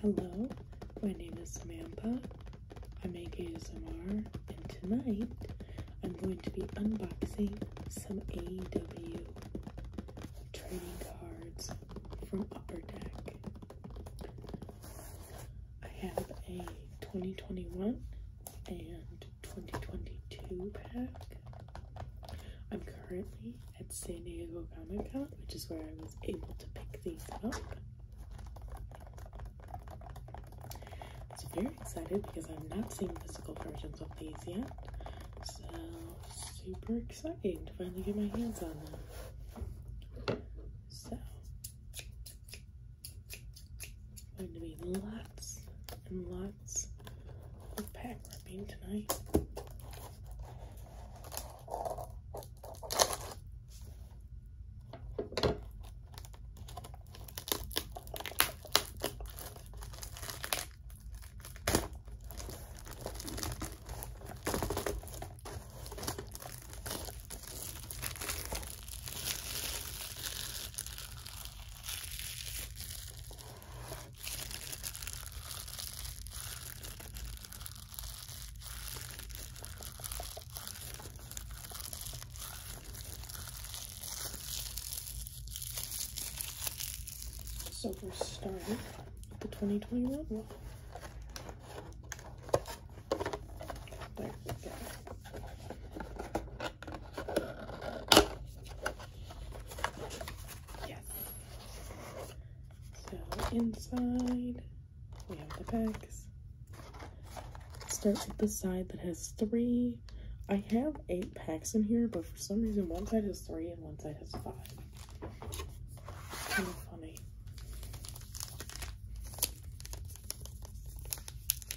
Hello, my name is Samantha. I am make ASMR, and tonight I'm going to be unboxing some AEW trading cards from Upper Deck. I have a 2021 and 2022 pack. I'm currently at San Diego Comic Con, which is where I was able to pick these up. So very excited because I've not seen physical versions of these yet. So super exciting to finally get my hands on them. So going to be lots and lots lots of pack tonight. So we're starting with the 2021 one. There we go. Yes. So inside we have the packs. Starts with the side that has three. I have eight packs in here, but for some reason one side has three and one side has five. Kind of funny.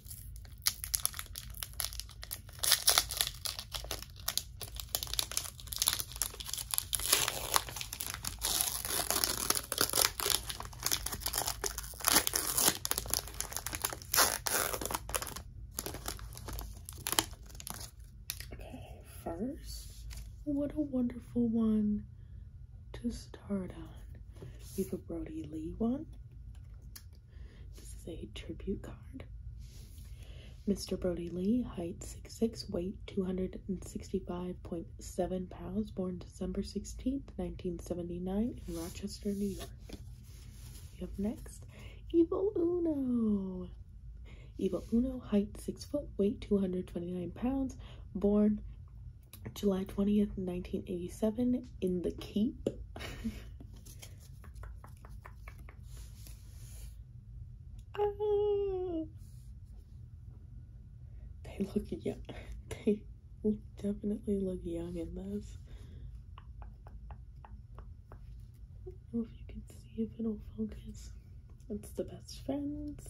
Okay, first, what a wonderful one to start on. We have a Brody Lee one, this is a tribute card. Mr. Brody Lee, height 6'6, weight 265.7 pounds, born December 16th, 1979, in Rochester, New York. We have next, Evil Uno. Evil Uno, height 6 foot, weight 229 pounds, born July 20th, 1987, in the Cape. Oh, They look young. They definitely look young in this. I don't know if you can see if it'll focus. It's the best friends.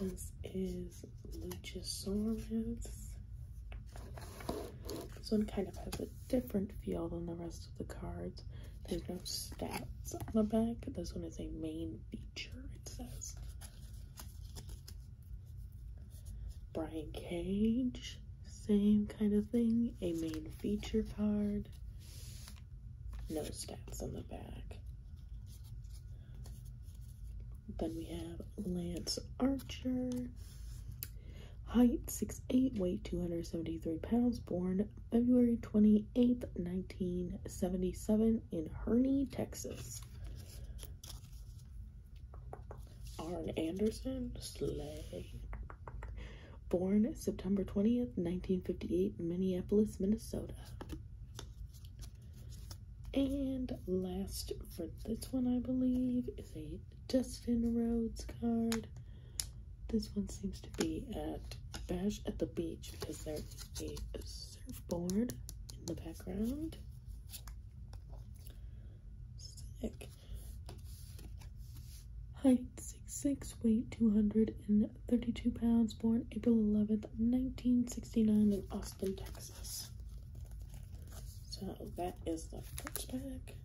This is Luchasaurus. This one kind of has a different feel than the rest of the cards. There's no stats on the back. This one is a main feature, it says. Brian Cage, same kind of thing. A main feature card. No stats on the back. Then we have Lance Archer. Height 6'8", weight 273 pounds, born February 28, 1977 in Herney, Texas. Arn Anderson, Slay. Born September 20th, 1958 Minneapolis, Minnesota. And last for this one, I believe, is a Justin Rhodes card. This one seems to be at Bash at the Beach because there is a surfboard in the background. Sick. Height 6'6", weight 232 pounds, born April 11th, 1969 in Austin, Texas. So that is the first bag.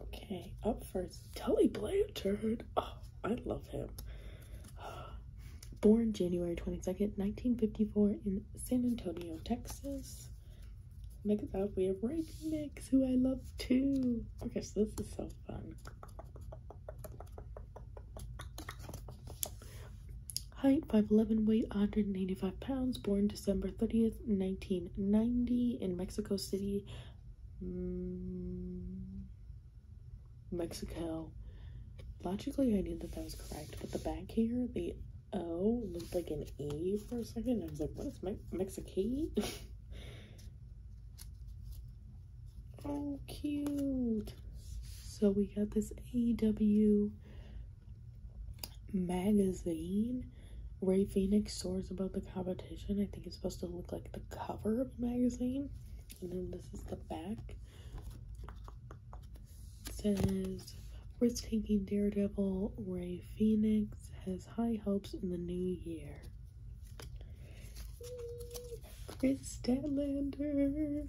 Okay, up first, Telly Blanchard. Oh, I love him. Born January 22nd, 1954 in San Antonio, Texas. Next up, we have Ray Phoenix, who I love too. Okay, so this is so fun. Height 5'11, weight 185 pounds, born December 30th, 1990, in Mexico City, mm, Mexico. Logically, I knew that that was correct, but the back here, the O looked like an E for a second. I was like, what is Mexicay?" Oh, cute. So we got this AEW magazine. Ray Phoenix soars above the competition. I think it's supposed to look like the cover of the magazine. And then this is the back. It says, risk-taking daredevil Ray Phoenix has high hopes in the new year. Chris Statlander.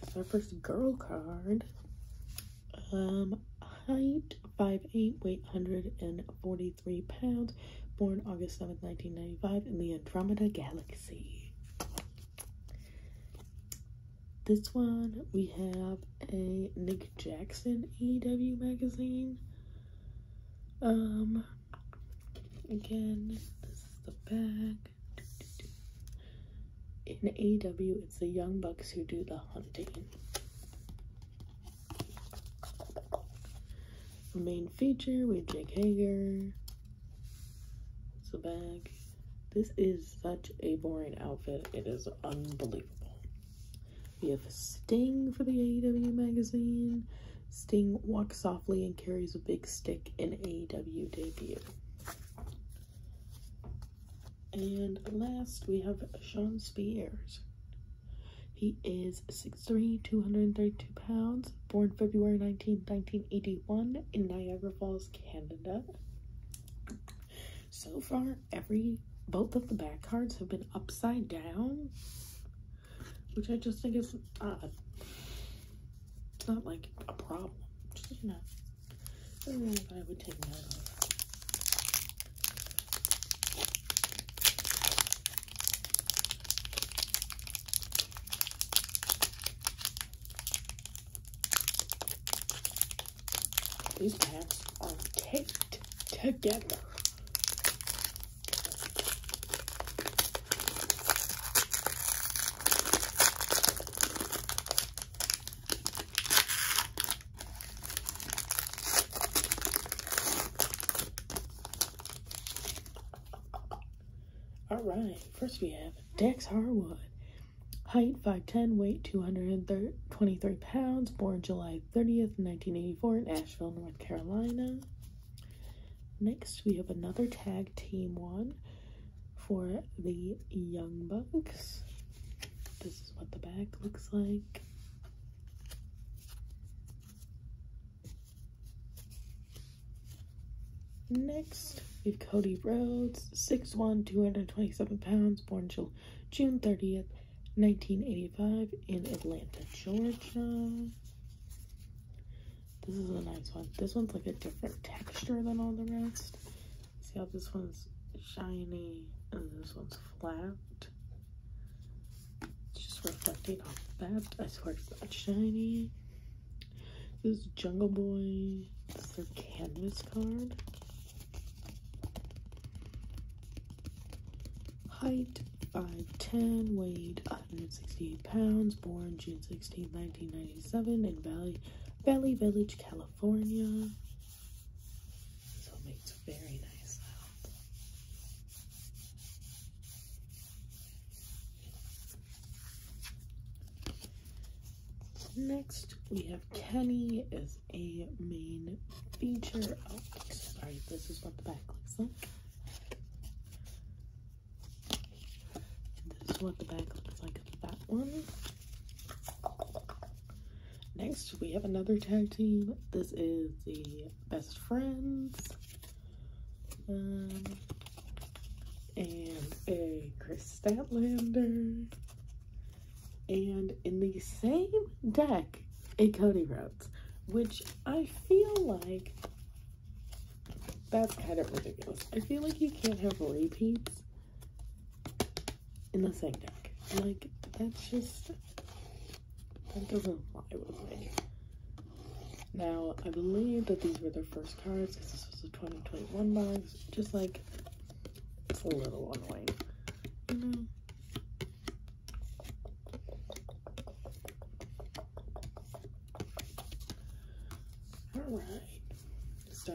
That's our first girl card. Um, height 5'8, weight 143 pounds. Born August 7th, 1995 in the Andromeda Galaxy. This one, we have a Nick Jackson EW magazine. Um, Again, this is the bag. In AW, it's the Young Bucks who do the hunting. main feature with Jake Hager. It's the bag. This is such a boring outfit. It is unbelievable. We have Sting for the AEW magazine. Sting walks softly and carries a big stick in AEW debut. And last, we have Sean Spears. He is six three, two hundred and thirty two pounds, born February 19, 1981 in Niagara Falls, Canada. So far, every both of the back cards have been upside down which I just think is uh, not like a problem, just you know, something I would take note of. These pants are taped together. All right, first we have Dex Harwood. Height 5'10, weight 223 pounds, born July 30th, 1984 in Asheville, North Carolina. Next, we have another tag team one for the Young Bucks. This is what the back looks like. Next, we have Cody Rhodes, six one, two hundred twenty-seven pounds, born June 30th, 1985 in Atlanta, Georgia. This is a nice one. This one's like a different texture than all the rest. See how this one's shiny and this one's flat? It's just reflecting off that. I swear it's not shiny. This is Jungle Boy. This is their canvas card. Height 5'10", weight 168 pounds, born June 16, 1997, in Valley, Valley Village, California. So it makes a very nice sound. Next, we have Kenny as a main feature. Oh, sorry, this is what the back looks like. This is what the bag looks like of that one. Next, we have another tag team. This is the Best Friends. Um, and a Chris Statlander. And in the same deck, a Cody Rhodes, which I feel like that's kind of ridiculous. I feel like you can't have repeats in the same deck. Like, that's just, that doesn't lie with me. Now, I believe that these were their first cards because this was a 2021 box. Just like, it's a little annoying. Mm-hmm. Alright, so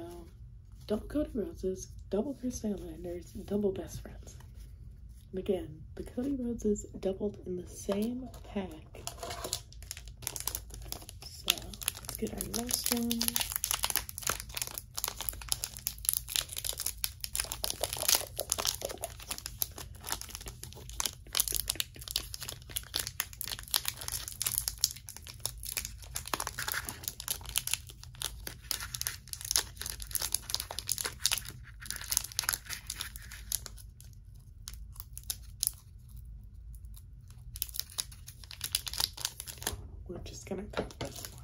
double Cody Roses, double Chris Landers, double Best Friends. And again, the Cody Roses doubled in the same pack. So let's get our next one. We're just going to cut this one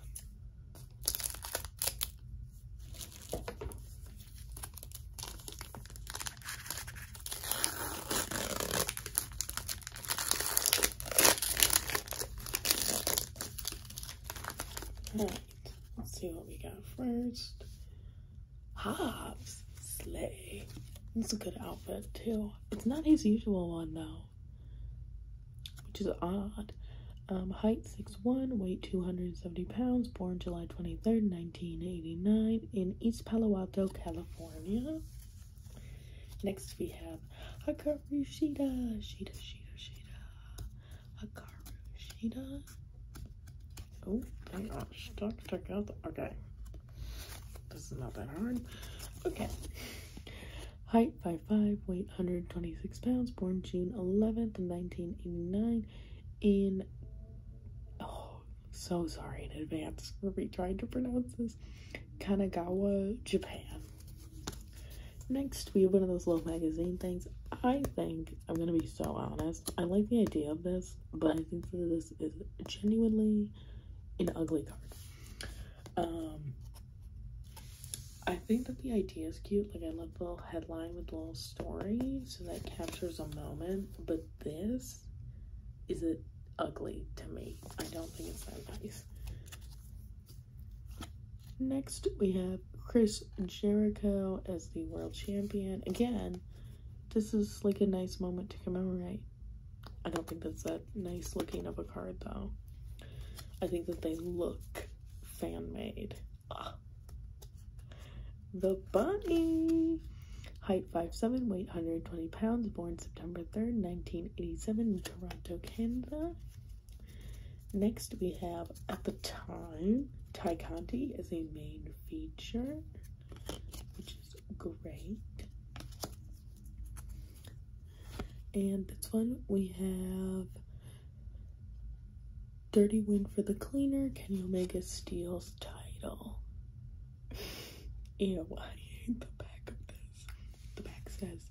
let's see what we got first. Hobbs, Slay. It's a good outfit too. It's not his usual one though, which is odd. Um, height 6'1", weight 270 pounds, born July 23rd, 1989 in East Palo Alto, California. Next, we have Hikaru Shida. Shida, Shida, Shida. Hikaru Shida. Oh, I got stuck Okay. This is not that hard. Okay. Height 5'5, weight 126 pounds, born June 11th, 1989 in oh, so sorry in advance for me trying to pronounce this. Kanagawa, Japan. Next, we have one of those little magazine things. I think, I'm gonna be so honest, I like the idea of this, but I think this is genuinely an ugly card. Um, I think that the idea is cute. Like, I love the headline with the little story, so that captures a moment, but this is it ugly to me. I don't think it's that nice. Next, we have Chris Jericho as the world champion. Again, this is like a nice moment to commemorate. I don't think that's that nice looking of a card though. I think that they look fan made. Ah, the Bunny. Height 5'7", weight 120 pounds, born September 3rd, 1987 Toronto, Canada. Next we have, at the time, Ty Conti as a main feature, which is great. And this one we have Dirty Win for the Cleaner, Kenny Omega steals title. Ew, I hate the back of this. The back says,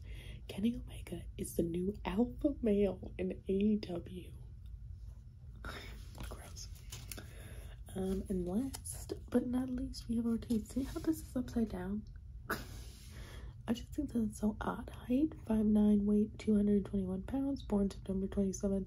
Kenny Omega is the new alpha male in AEW. Gross. Um, and last but not least, we have our teeth. See how this is upside down? I just think that's so odd. Height, 5'9", weight, 221 pounds, born September 27,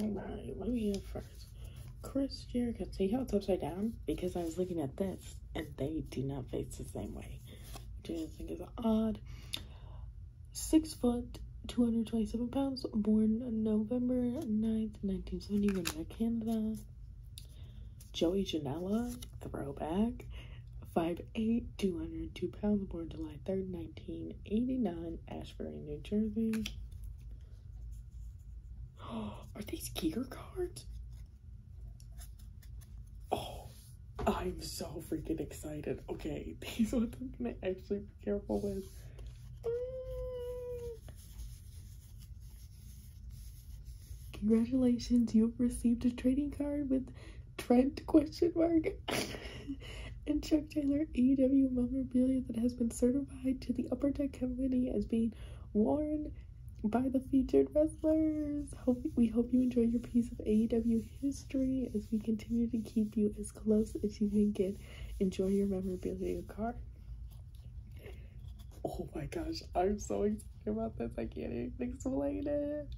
Alright, what do we have first? Chris Jericho. See how it's upside down? Because I was looking at this and they do not face the same way. Which I think is odd six foot, 227 pounds, born November 9th, nineteen seventy-one, Canada. Joey Janela, throwback, 5'8", 202 pounds, born July 3rd, 1989, Ashbury, New Jersey. Are these Giger cards? Oh, I'm so freaking excited. Okay, these ones I'm gonna actually careful with. Congratulations, you have received a trading card with Trent question mark and Chuck Taylor AEW memorabilia that has been certified to the Upper Deck Company as being worn by the featured wrestlers. we hope you enjoy your piece of AEW history as we continue to keep you as close as you can get enjoy your memorabilia card. Oh my gosh, I'm so excited about this. I can't even explain it.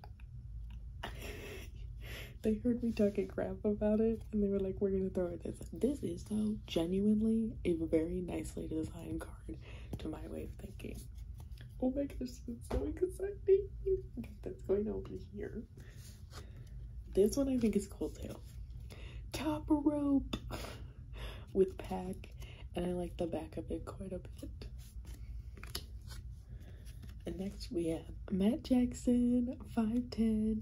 they heard me talking crap about it and they were like, we're gonna throw this. This is though genuinely a very nicely designed card to my way of thinking. Oh my gosh, this is so exciting. Okay, that's going over here. This one I think is Cold Tail. Top rope with pack, and I like the back of it quite a bit. And next we have Matt Jackson, 5'10,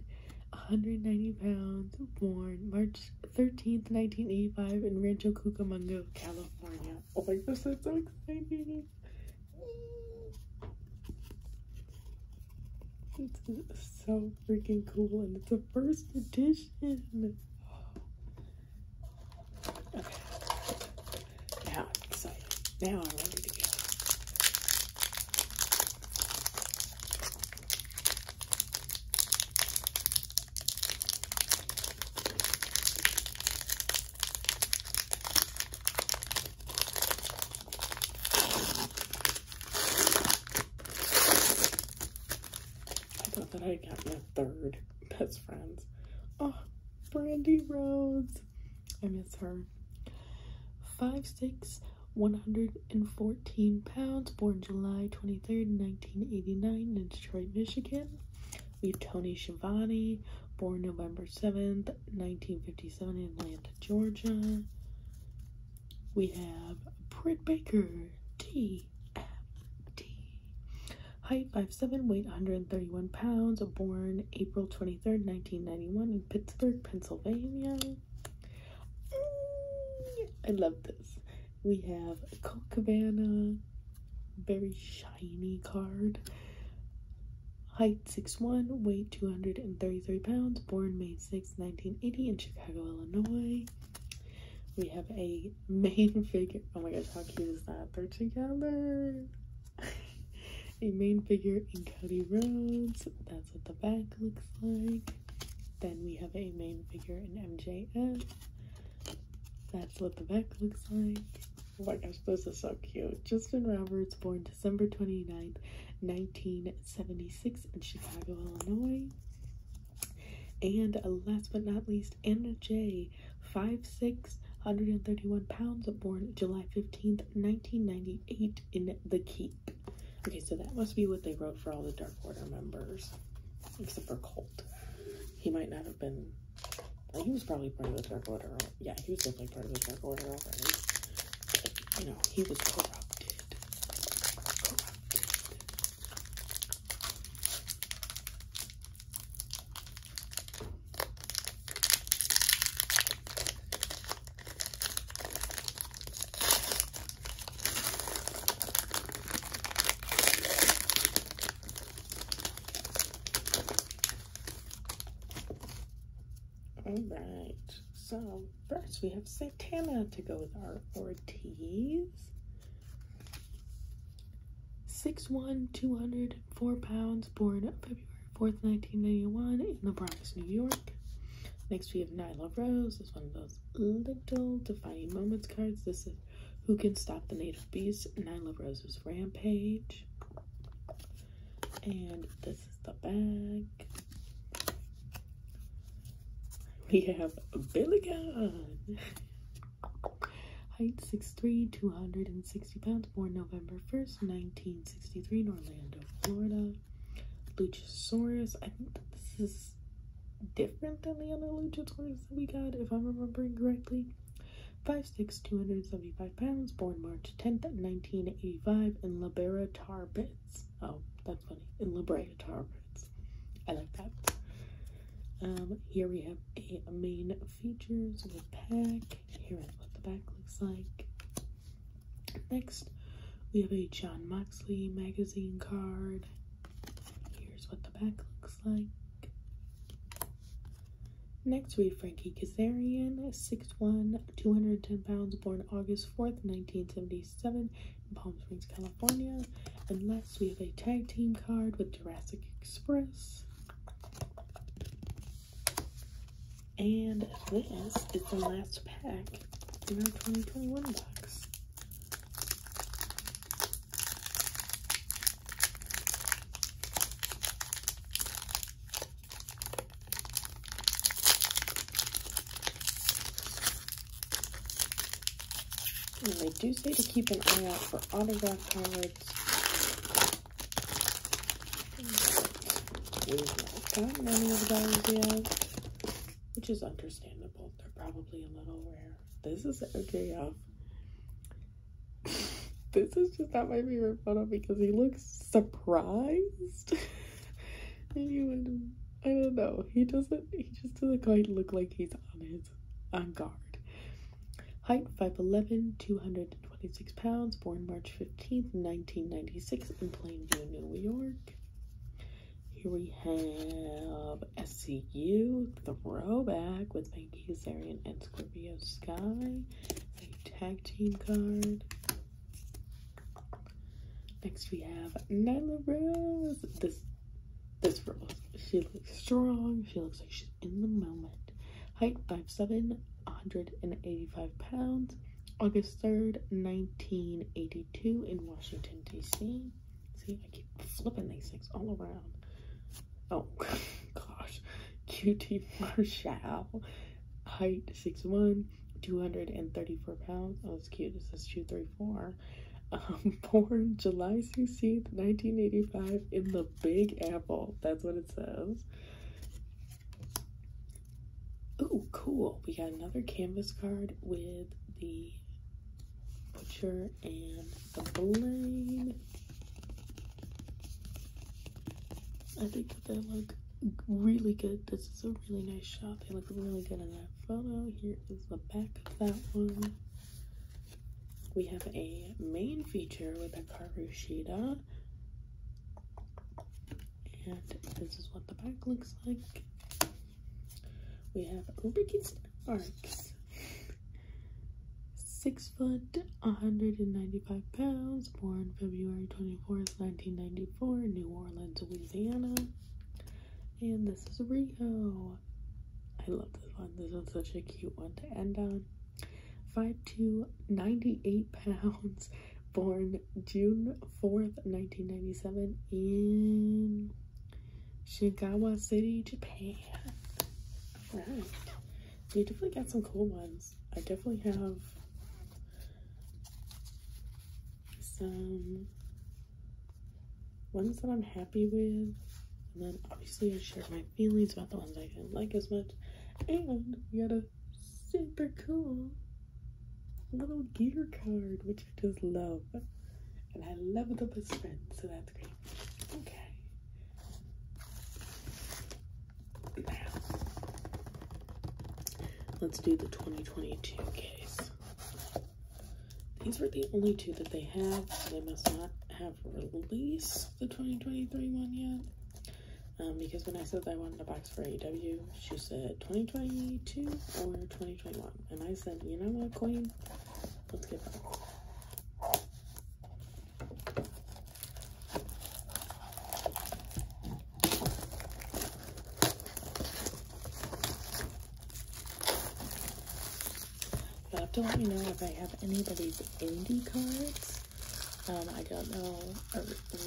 190 pounds, born March 13th, 1985, in Rancho Cucamonga, California. Oh my goodness, that's so exciting! It's so freaking cool and it's a first edition. Okay. Now I'm excited. Now I'm ready to go. I thought that I got my third best friends. Oh, Brandy Rhodes. I miss her. Five six, one hundred and fourteen pounds, born July 23rd, 1989 in Detroit, Michigan. We have Tony Schiavone, born November 7th, 1957 in Atlanta, Georgia. We have Britt Baker, TFT. Height 5'7, weight 131 pounds, born April 23, 1991 in Pittsburgh, Pennsylvania. Mm, I love this. We have Colt Cabana, very shiny card height six one, weight 233 pounds, born May 6, 1980 in Chicago, Illinois. We have a main figure. Oh my gosh, how cute is that? They're together. a main figure in Cody Rhodes. That's what the back looks like. Then we have a main figure in MJF. That's what the back looks like. Oh my gosh, this is so cute. Justin Roberts, born on December 29th, 1976 in Chicago, Illinois. And last but not least, Anna J, 5'6", 131 pounds, born July 15th, 1998 in The Keep. Okay, so that must be what they wrote for all the Dark Order members, except for Colt. He might not have been, he was probably part of the Dark Order. Yeah, he's definitely part of the Dark Order already you know, he was corrupted. Corrupted. All right, so first we have Santana to go with our Ortiz. 6'1", 204 pounds, born February 4th, 1991 in the Bronx, New York. Next we have Nyla Rose, this is one of those little defining moments cards. This is Who Can Stop the Native Beast, Nyla Rose's Rampage. And the this is the bag. We have Billy Gunn. Height 6'3", 260 pounds, born November 1st, 1963 in Orlando, Florida. Luchasaurus. I think this is different than the other Luchasaurus that we got, if I'm remembering correctly. 5'6", 275 pounds, born March 10th, 1985 in Libera, Tar Oh, that's funny. In La Brea I like that. Um, here we have a main features pack. Here is what the back looks like. Next, we have a John Moxley magazine card. Here's what the back looks like. Next, we have Frankie Kazarian, six one. 210 pounds, born August 4th, 1977, in Palm Springs, California. And last, we have a tag team card with Jurassic Express. And this is the last pack in our 2021 box. And they do say to keep an eye out for autograph cards. not gotten of those which is understandable. They're probably a little rare. This is OJF. this is just not my favorite photo because he looks surprised. I don't know. He doesn't. He just doesn't quite look like he's on his on guard. Height 5'11", 226 pounds. Born March 15th, 1996 in Plainview, New York. Here we have SCU, Throwback with Banky Kazarian and Scorpio Sky. A tag team card. Next we have Nyla Rose. This this girl, She looks strong. She looks like she's in the moment. Height 5'7", 185 pounds. August 3rd, 1982 in Washington, D.C. See, I keep flipping these things all around. Oh, gosh. QT Marshall. Height six one. 234 pounds. Oh, it's cute. It says 234. Um, born July 16th, 1985, in the Big Apple. That's what it says. Oh, cool. We got another canvas card with the butcher and the blade. I think they look really good. This is a really nice shot. They look really good in that photo. Here is the back of that one. We have a main feature with a Karushida. And this is what the back looks like. We have Ricky Starks. Six foot, 195 pounds, born February twenty-fourth. 1994, New Orleans, Louisiana. And this is Rio. I love this one. This is such a cute one to end on. Five to 98 pounds, born June 4th, 1997 in Shigawa City, Japan. Alright. You definitely got some cool ones. I definitely have some ones that I'm happy with. And then obviously I shared my feelings about the ones I didn't like as much. And we got a super cool little gear card, which I just love. And I love the best friend, so that's great. Okay let's do the 2022 case. These were the only two that they have. They must not have released the 2023 one yet. Um, because when I said that I wanted a box for AW, she said 2022 or 2021. And I said, you know what, Queen? Let's get both. I will have to let me know if I have any of these indie cards. Um, I don't know,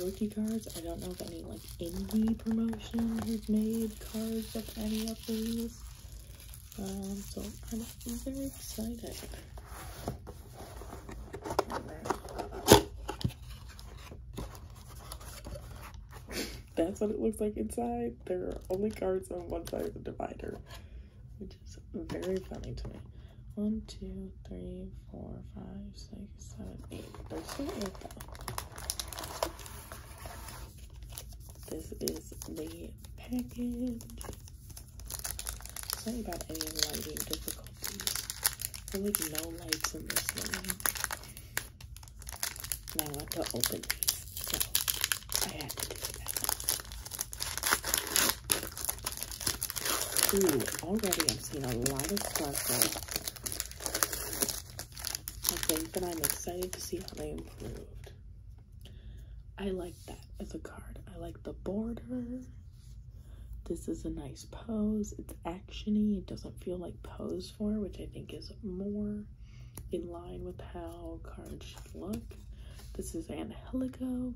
rookie cards. I don't know if any, like, indie promotion has made cards of any of these. Um, so I'm very excited. That's what it looks like inside. There are only cards on one side of the divider, which is very funny to me. One, two, three, four, five, six, seven, eight. This is the package. It's not about any lighting difficulties. There like no lights in this one. And I want to open these, so I have to do that. Ooh, already I'm seeing a lot of sparkle. I think that I'm excited to see how they improved. I like that as a card. I like the border. This is a nice pose. It's actiony. It doesn't feel like pose for, which I think is more in line with how cards should look. This is Angelico.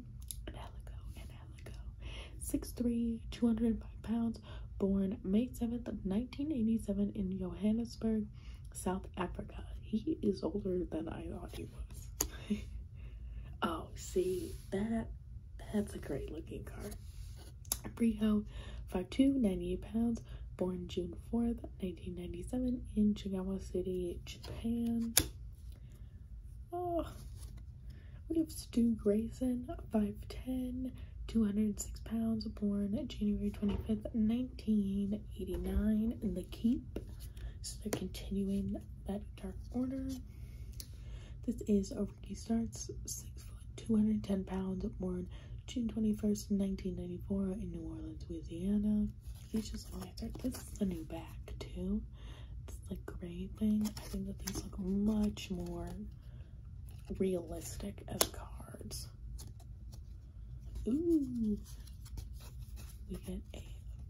Angelico, Angelico. 6'3", 205 pounds, born May 7th, 1987 in Johannesburg, South Africa. He is older than I thought he was. oh, see, that that's a great looking car. Brio, 5'2", 98 pounds, born June 4th, 1997 in Chigawa City, Japan. Oh, we have Stu Grayson, 5'10", 206 pounds, born January 25th, 1989 in The Keep. So they're continuing that dark order. This is over. Ricky Starts, 6 foot, 210 pounds, born June 21st, 1994 in New Orleans, Louisiana. These just my This is the new back, too. It's like gray thing. I think that these look much more realistic as cards. Ooh! We get a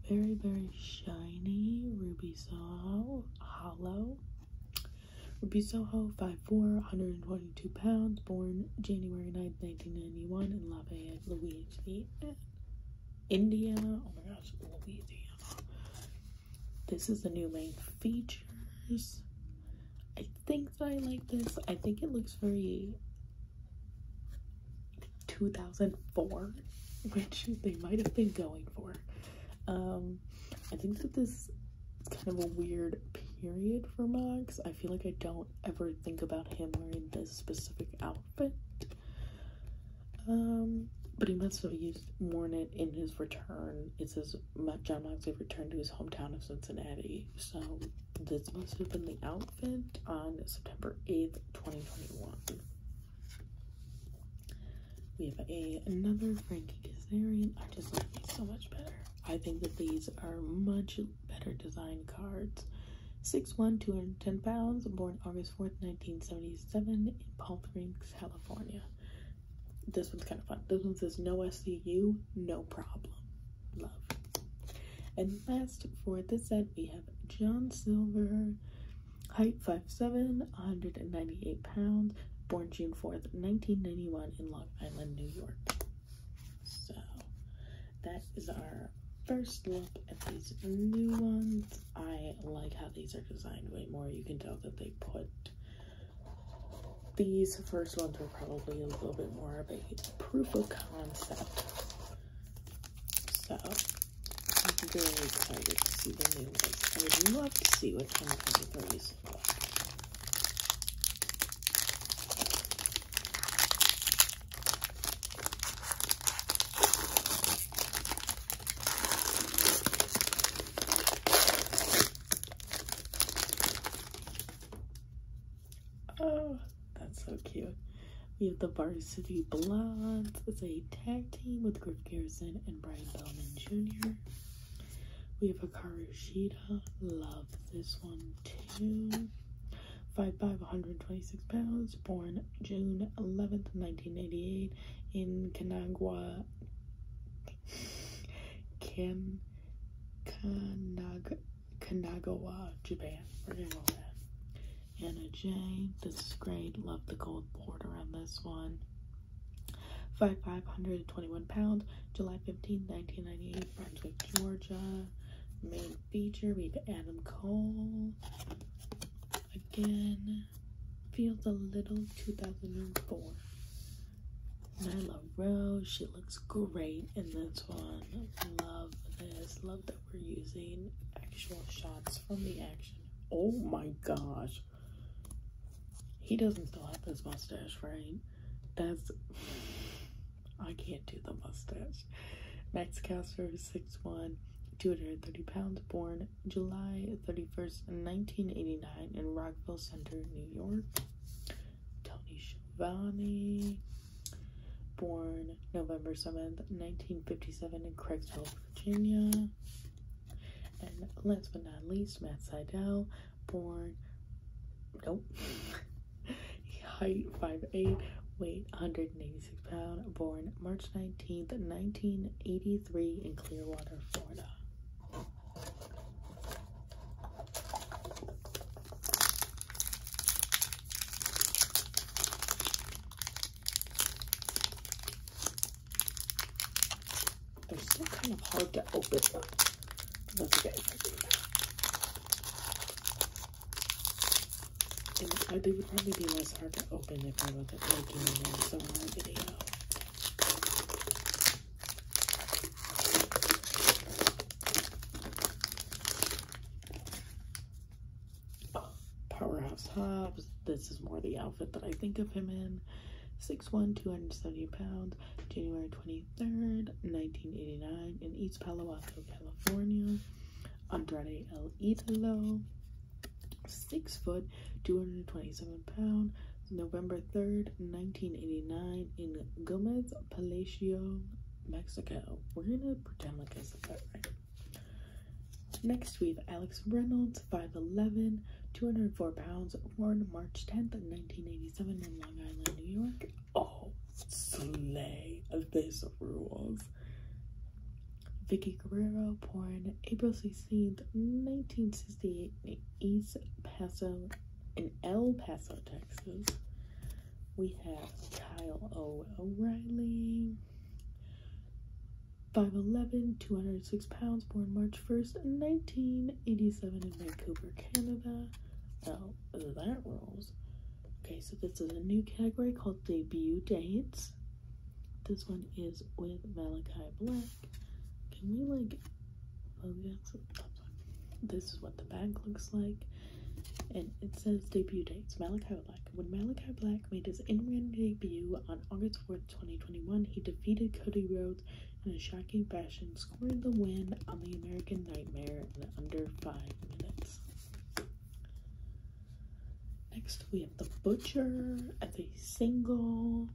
very, very shiny Ruby Saw Hollow. Ruby Soho, 5'4", 122 pounds, born January 9, 1991 in Lafayette, Louisiana, Indiana. Oh my gosh, Louisiana. This is the new main features. I think I like this. I think it looks very 2004, which they might have been going for. Um, i think that this is kind of a weird period for max i feel like i don't ever think about him wearing this specific outfit um but he must have used worn it in his return it says john moxley returned to his hometown of cincinnati so this must have been the outfit on september 8th 2021 we have a another Frankie Kazarian. I just like these so much better. I think that these are much better designed cards. 6'1", 210 pounds, born August 4th, 1977 in Palm Springs, California. This one's kind of fun. This one says, no SCU, no problem. Love. And last for this set, we have John Silver, Height 5'7, 198 pounds, born June 4th, 1991 in Long Island, New York. So that is our first look at these new ones. I like how these are designed way more. You can tell that they put these first ones were probably a little bit more of a proof of concept. So I'm very excited to see the new. I would love to see what 2023 look like. Oh, that's so cute. We have the Varsity Blondes. It's a tag team with Griff Garrison and Brian Bellman Jr. We have a Karushita. Love this one too. 5'5", 126 pounds. Born June 11th, 1988 in Kanagawa, Kim Kanag Kanagawa, Japan. We're that. Anna J. This is great. Love the gold border on this one. Five five hundred twenty-one pounds, July 15, 1998, Brunswick, Georgia. Main feature, we have Adam Cole. Again, feels a little 2004. Nyla Rose, she looks great in this one. Love this. Love that we're using actual shots from the action. Oh my gosh. He doesn't still have his mustache, right? That's I can't do the mustache. Max Caster, six one, two hundred thirty pounds, born July 31st, 1989, in Rockville Center, New York. Tony Schiavone, born November 7th, 1957, in Craigsville, Virginia. And last but not least, Matt Seidel, born, nope, height 5'8, weight 186 pound, born March 19th, 1983 in Clearwater, Florida. They're still kind of hard to open but Let's get would probably be less hard to open if I wasn't making them so on video. Powerhouse Hobbs. This is more the outfit that I think of him in. Jackson, 6'1", 270 pounds, January 23rd, 1989, in East Palo Alto, California. Andrade El Idolo, 6 foot, 227 pound, November 3rd, 1989, in Gomez Palacio, Mexico. We're gonna pretend like I said that right. Next, we have Alex Reynolds, 5'11, 204 pounds, born March 10th, 1987, in Long Island, New York. Oh, slay! This rules. Vicky Guerrero, born April 16th, 1968, in East Paso, in El Paso, Texas. We have Kyle O. O'Reilly, 5'11, 206 pounds, born March 1st, 1987 in Vancouver, Canada. Now, that rolls. Okay, so this is a new category called Debut Dates. This one is with Malachi Black. Can we, like, oh, this is what the bag looks like. And it says debut dates Malachi Black. When Malachi Black made his in-ring debut on August fourth, 2021. He defeated Cody Rhodes in a shocking fashion, scoring the win on the American Nightmare in under 5 minutes. Next, we have The Butcher as a single.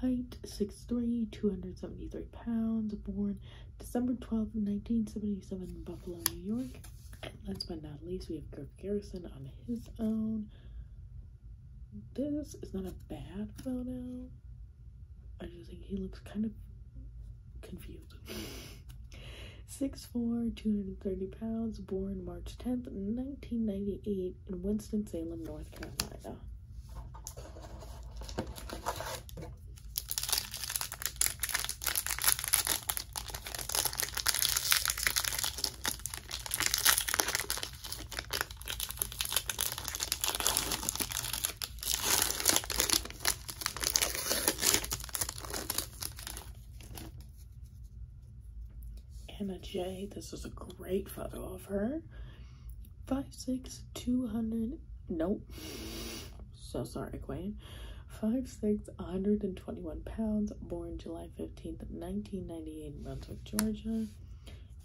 Height 6'3", 273 pounds, born December twelfth, 1977 Buffalo, New York. And last but not least, we have Garrison on his own. This is not a bad photo. I just think he looks kind of confused. Six four, two hundred and thirty pounds, born March 10th, 1998, in Winston-Salem, North Carolina. Anna J. This is a great photo of her. Five six two hundred. Nope. So sorry, Queen. Five pounds. Born July 15, 1998 in Brunswick, Georgia.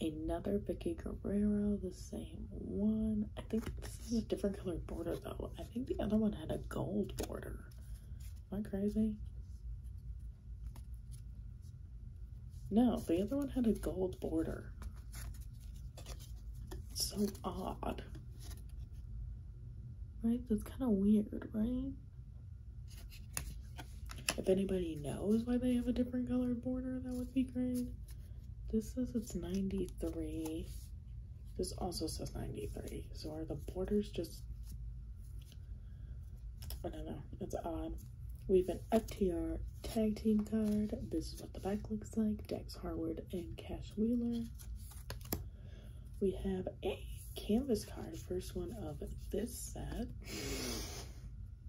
Another Vicky Guerrero, the same one. I think this is a different color border though. I think the other one had a gold border. Am I crazy? No, the other one had a gold border. So odd. Right? That's kind of weird, right? If anybody knows why they have a different colored border, that would be great. This says it's 93. This also says 93. So are the borders just... I don't know. It's odd. We have an FTR tag team card. This is what the back looks like. Dax Harwood and Cash Wheeler. We have a canvas this first one of this set.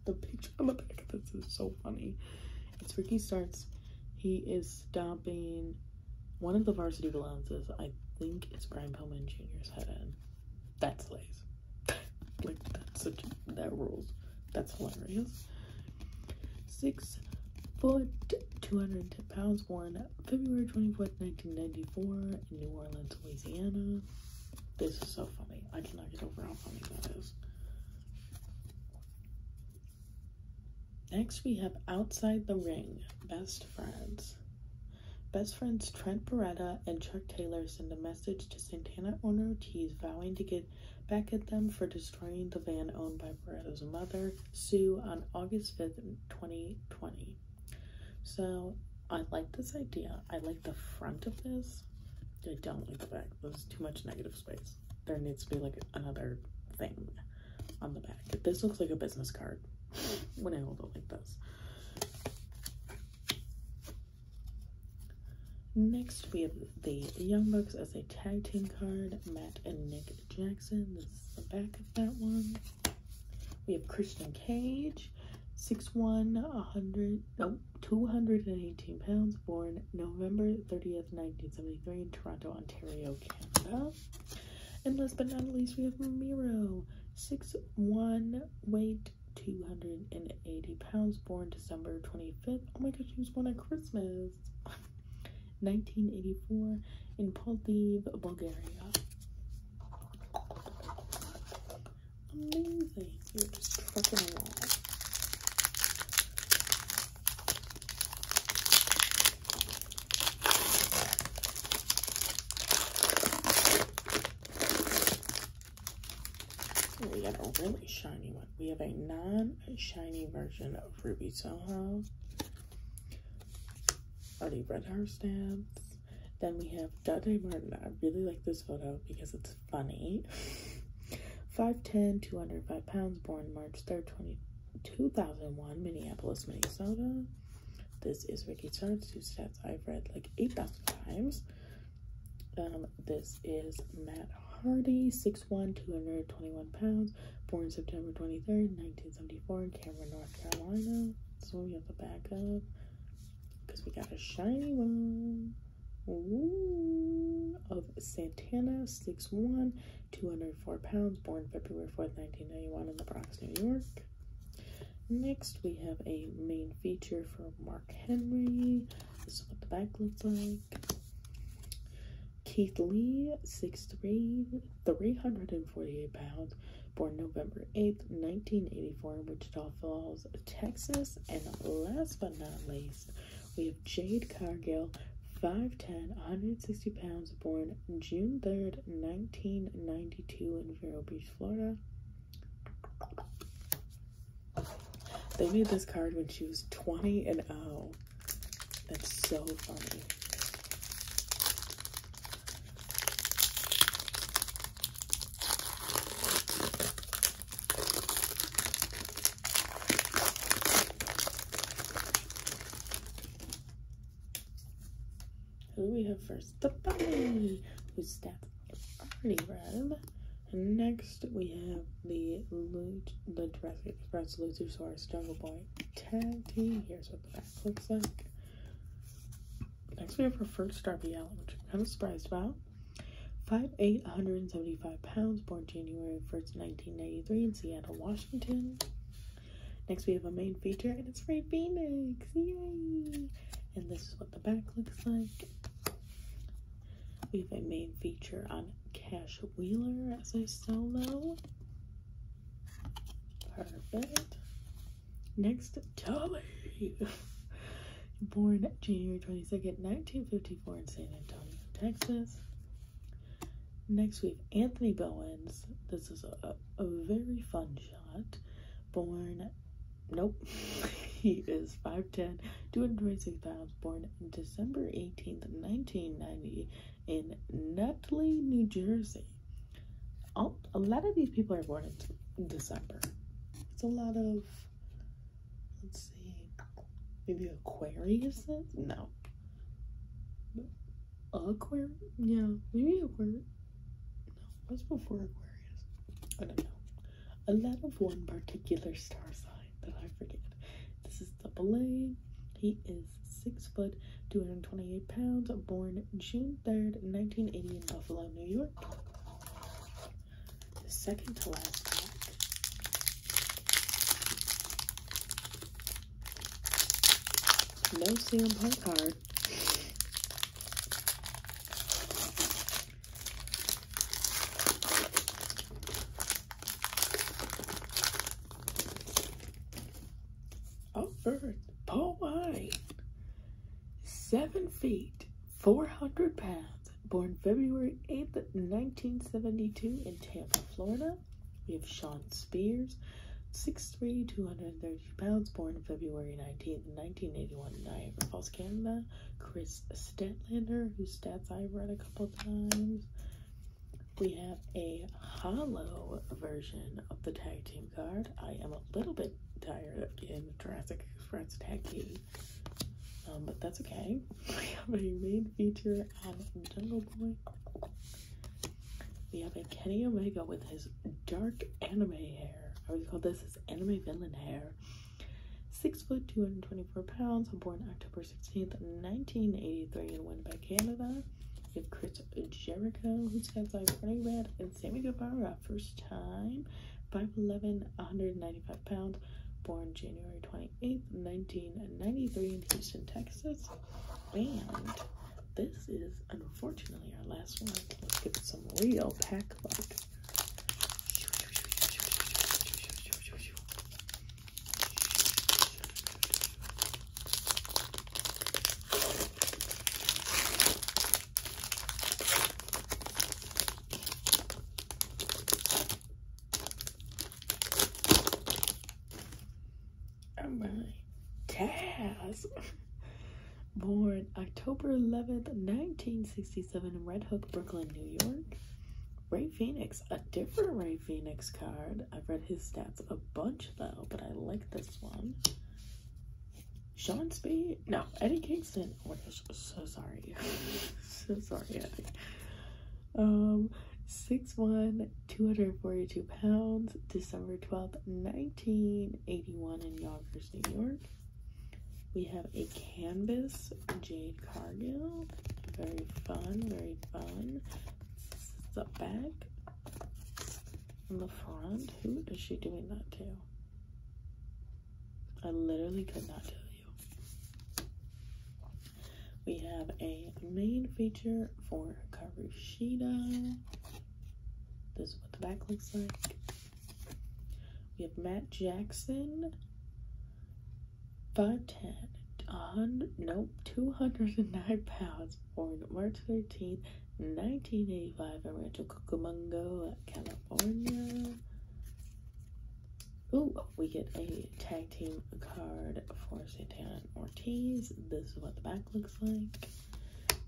The picture on the back of this is so funny. It's where he Starts. He is stomping one of the varsity balances. I think it's Brian Pillman Jr.'s head in. That's slays. like, that's such, that rules. That's hilarious. Six foot, 210 pounds, born February 24th, 1994, in New Orleans, Louisiana. This is so funny. I cannot get over how funny that is. Next, we have Outside the Ring, Best Friends. Best friends Trent Beretta and Chuck Taylor send a message to Santana owner Ortiz vowing to get back at them for destroying the van owned by Beretta's mother, Sue, on August 5th, 2020. So I like this idea. I like the front of this. I don't like the back. There's too much negative space. There needs to be like another thing on the back. This looks like a business card when I hold it like this. Next, we have the Young Bucks as a tag team card, Matt and Nick Jackson. This is the back of that one. We have Christian Cage, 6'1", 100, no, 218 pounds, born November 30th, 1973 in Toronto, Ontario, Canada. And last but not least, we have Miro, 6'1", pounds, born December 25th. Oh my gosh, he was born at Christmas. 1984 in Plovdiv, Bulgaria. Amazing. You're just trucking along. We have a really shiny one. We have a non-shiny version of Ruby Soho. Already read her stamps. Then we have Dante Martin. I really like this photo because it's funny. 5'10, 205 pounds, born March 3rd, 20, 2001, Minneapolis, Minnesota. This is Ricky Starnes, whose stats I've read like 8,000 times. Um, this is Matt Hardy, 6'1, 221 pounds, born September 23rd, 1974, Cameron, North Carolina. So we have the back of because we got a shiny one Ooh, of Santana, 6'1, 204 pounds, born February 4th, 1991, in the Bronx, New York. Next, we have a main feature for Mark Henry. This is what the back looks like. Keith Lee, 6'3, 348 pounds, born November 8th, 1984, in Wichita Falls, Texas. And last but not least, we have Jade Cargill, 5'10, pounds, born June 3rd, 1992, in Vero Beach, Florida. They made this card when she was 20 and oh, That's so funny. Who we have first? The bunny, who's staff already red. And next we have the loot, the Jurassic Express Lutosaurus Jungle Boy tag team. Here's what the back looks like. Next, we have our first Darby Allen, which I'm kind of surprised about. 5'8", 175 pounds, born January 1st, 1993 in Seattle, Washington. Next, we have a main feature, and it's Ray Phoenix. Yay! And this is what the back looks like. We have a main feature on Cash Wheeler as a solo. Perfect. Next, Dolly. Born January 22nd, 1954 in San Antonio, Texas. Next, we have Anthony Bowens. This is a, very fun shot. Born, nope, he is 5'10, 226 pounds. Born December 18th, 1990 in Nutley, New Jersey. All, a lot of these people are born in December. It's a lot of, let's see, maybe Aquarius? No. Aquarius? Yeah, maybe Aquarius. No, what's before Aquarius? I don't know. A lot of one particular star sign that I forget. This is the A. He is six foot, 228 pounds, born June 3rd, 1980 in Buffalo, New York. The second to last pack. No CM Punk card. Offered. Oh, Paul White, seven feet, 400 pounds, born February 8th, 1972 in Tampa, Florida. We have Sean Spears, 6'3", 230 pounds, born February 19th, 1981 in Niagara Falls, Canada. Chris Stetlander, whose stats I've read a couple times. We have a hollow version of the tag team card. I am a little bit tired of getting the Jurassic Express tag um, but that's okay. We have a main feature of Jungle Boy. We have a Kenny Omega with his dark anime hair. I always call this his anime villain hair. Six foot, 224 pounds, born October 16th, 1983, in Winnipeg, Canada. We Chris Jericho, who stands by burning red, and Sammy Guevara, first time. 5'11, 195 pounds, born January 28th, 1993 in Houston, Texas. And this is unfortunately our last one. Let's get some real pack luck. I'm oh really Taz. Born October 11th, 1967 in Red Hook, Brooklyn, New York. Ray Phoenix, a different Ray Phoenix card. I've read his stats a bunch though, but I like this one. Sean Speed, No, Eddie Kingston. Oh gosh, so sorry. so sorry, Eddie. Um, 6'1", 242 pounds, December 12th, 1981 in Yonkers, New York. We have a canvas, Jade Cargill. Very fun, very fun. This back. On the front, who is she doing that to? I literally could not tell you. We have a main feature for Karushida. This is what the back looks like. We have Matt Jackson. 5'10", on nope, 209 pounds, born March 13th, 1985 I'm in Rancho Cucamonga, California. Ooh, we get a tag team card for Santana Ortiz. This is what the back looks like.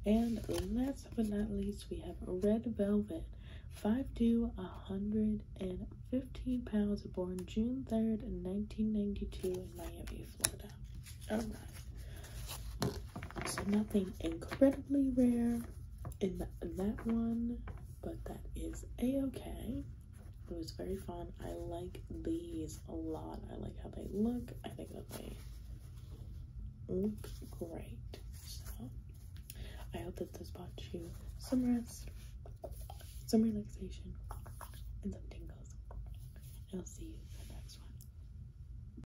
And last but not least, we have Red Velvet, five 5'2", 115 pounds, born June 3rd, 1992 in Miami, Florida. All oh, right. So nothing incredibly rare in, that one, but that is a-okay. It was very fun. I like these a lot. I like how they look. I think they look great. So I hope that this brought you some rest, some relaxation, and some tingles. I'll see you in the next one.